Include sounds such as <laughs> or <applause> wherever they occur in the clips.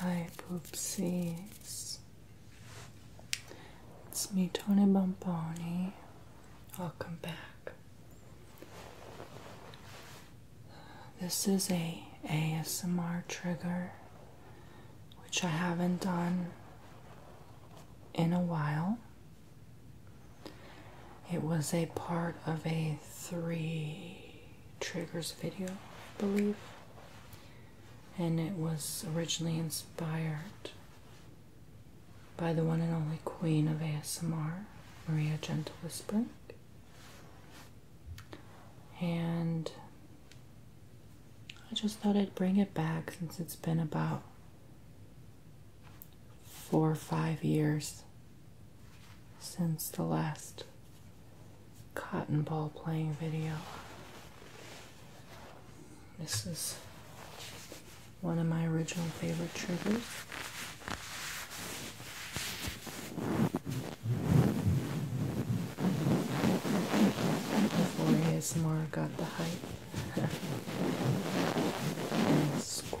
Hi poopsies. It's me, Tony Bomboni. Welcome back. This is a ASMR trigger, which I haven't done in a while. It was a part of a three triggers video, I believe, and it was originally inspired by the one and only queen of ASMR, Maria Gentle Whispering. And I just thought I'd bring it back since it's been about four or five years since the last cotton ball playing video. This is one of my original favorite triggers. Before ASMR got the hype. <laughs>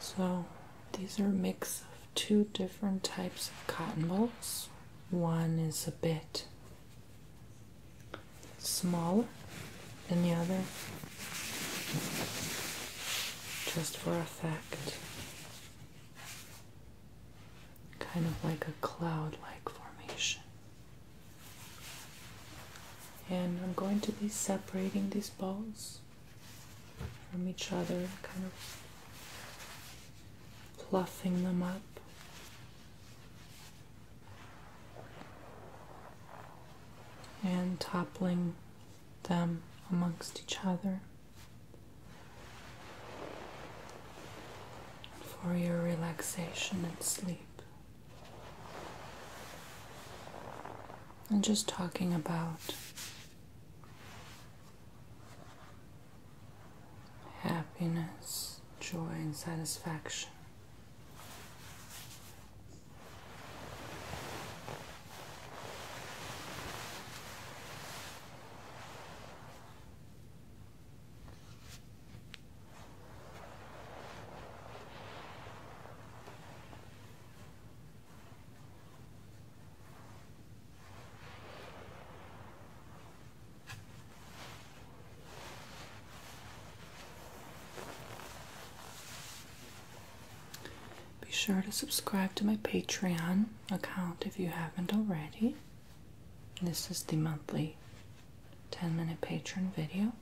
So these are a mix of two different types of cotton balls. One is a bit smaller than the other, just for effect. Kind of like a cloud like formation and I'm going to be separating these balls from each other, kind of pluffing them up. And toppling them amongst each other for your relaxation and sleep. I'm just talking about happiness, joy, and satisfaction. Be sure to subscribe to my Patreon account if you haven't already. This is the monthly 10 minute patron video.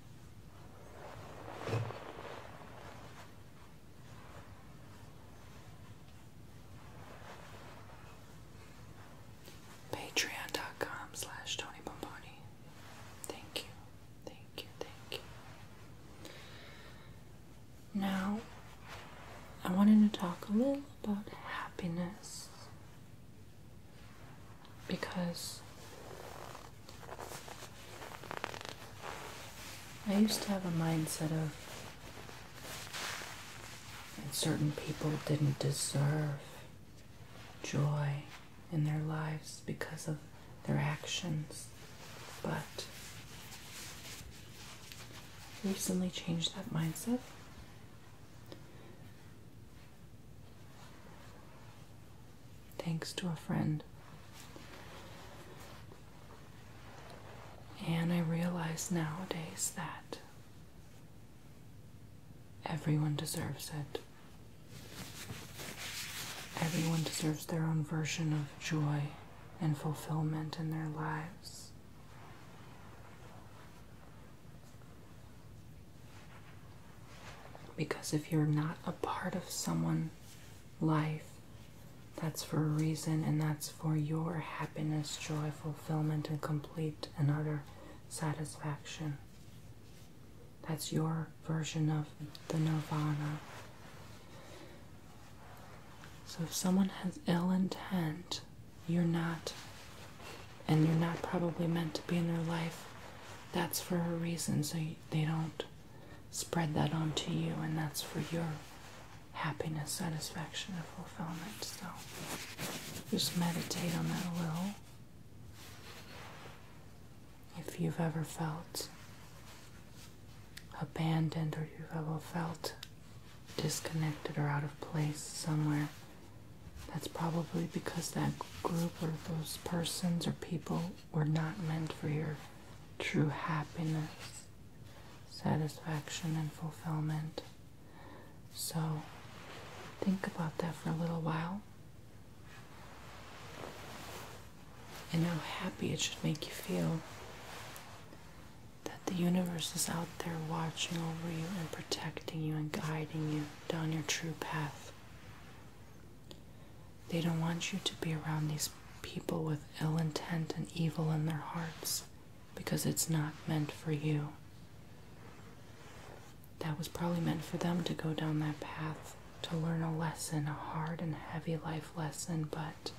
Patreon.com slash Tony Pomponi. Thank you, thank you, thank you. Now, I wanted to talk a little about happiness because I used to have a mindset of certain people didn't deserve joy in their lives because of their actions, but recently changed that mindset thanks to a friend. And I realize nowadays that everyone deserves it. Everyone deserves their own version of joy and fulfillment in their lives. Because if you're not a part of someone's life, that's for a reason and that's for your happiness, joy, fulfillment, and complete and utter satisfaction. That's your version of the nirvana. So if someone has ill intent, you're not, and you're not probably meant to be in their life, that's for a reason, so they don't spread that onto you, and that's for your happiness, satisfaction, and fulfillment. So just meditate on that a little. If you've ever felt abandoned or you've ever felt disconnected or out of place somewhere, that's probably because that group or those persons or people were not meant for your true happiness, satisfaction, and fulfillment. So think about that for a little while and how happy it should make you feel the universe is out there watching over you and protecting you and guiding you down your true path. They don't want you to be around these people with ill intent and evil in their hearts because it's not meant for you. That was probably meant for them to go down that path, to learn a lesson, a hard and heavy life lesson, but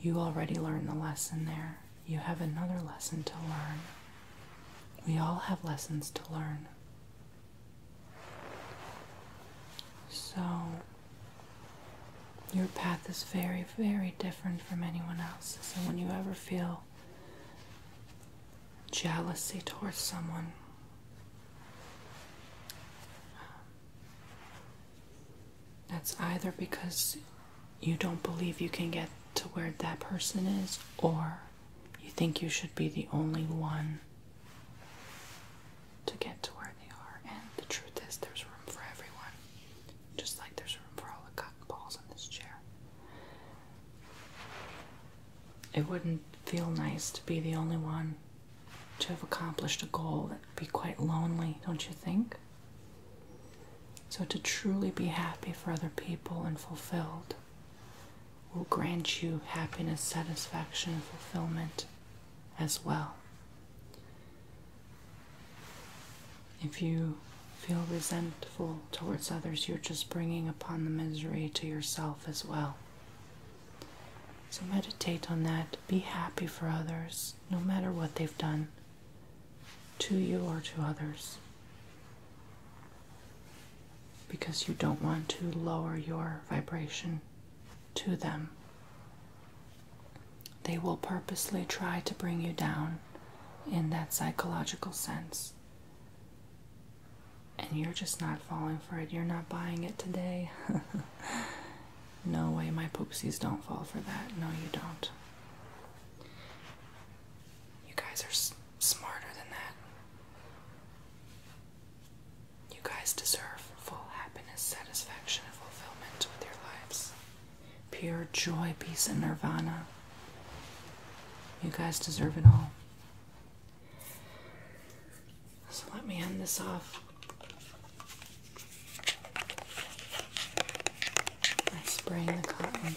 you already learned the lesson there. You have another lesson to learn. We all have lessons to learn. So, your path is very, very different from anyone else's. So, when you ever feel jealousy towards someone, that's either because you don't believe you can get to where that person is, or you think you should be the only one to get to where they are. And the truth is, there's room for everyone, just like there's room for all the cotton balls in this chair. It wouldn't feel nice to be the only one to have accomplished a goal. It'd be quite lonely, don't you think? So, to truly be happy for other people and fulfilled will grant you happiness, satisfaction, fulfillment as well. If you feel resentful towards others, you're just bringing upon the misery to yourself as well. So, meditate on that. Be happy for others, no matter what they've done to you or to others because you don't want to lower your vibration to them. They will purposely try to bring you down in that psychological sense. And you're just not falling for it. You're not buying it today. <laughs> No way, my poopsies don't fall for that. No, you don't. You guys are smarter than that. You guys deserve full happiness, satisfaction, and fulfillment with your lives. Pure joy, peace, and nirvana. You guys deserve it all. So let me end this off by spraying the cotton.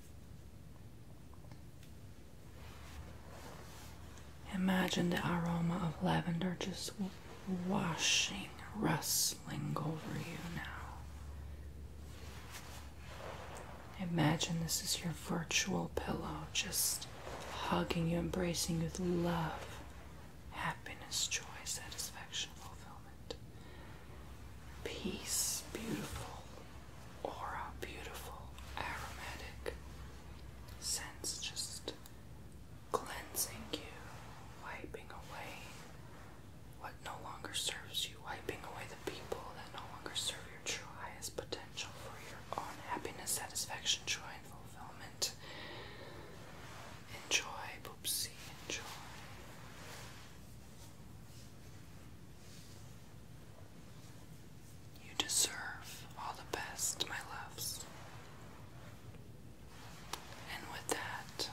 Imagine the aroma of lavender just washing, rustling over you now. Imagine this is your virtual pillow just hugging you, embracing you with love, happiness, joy, satisfaction, fulfillment. Peace, beautiful. Aura, beautiful. Aromatic. Sense just cleansing you, wiping away what no longer serves you, wiping away the people that no longer serve your true highest potential for your own happiness, satisfaction, joy, and fulfillment. Enjoy, Boopsie, enjoy. You deserve all the best, my loves. And with that,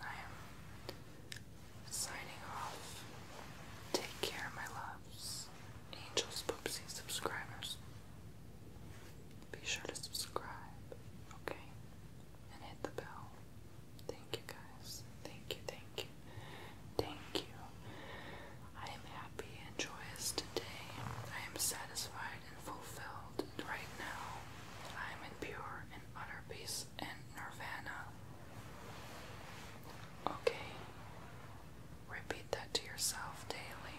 I am signing off. Take care, my loves. Angels, Poopsie subscribers. Be sure to subscribe, okay? And hit the bell. Thank you guys. Thank you, thank you. Thank you. I am happy and joyous today. I am satisfied and fulfilled right now. I am in pure and utter peace and nirvana. Okay. Repeat that to yourself daily.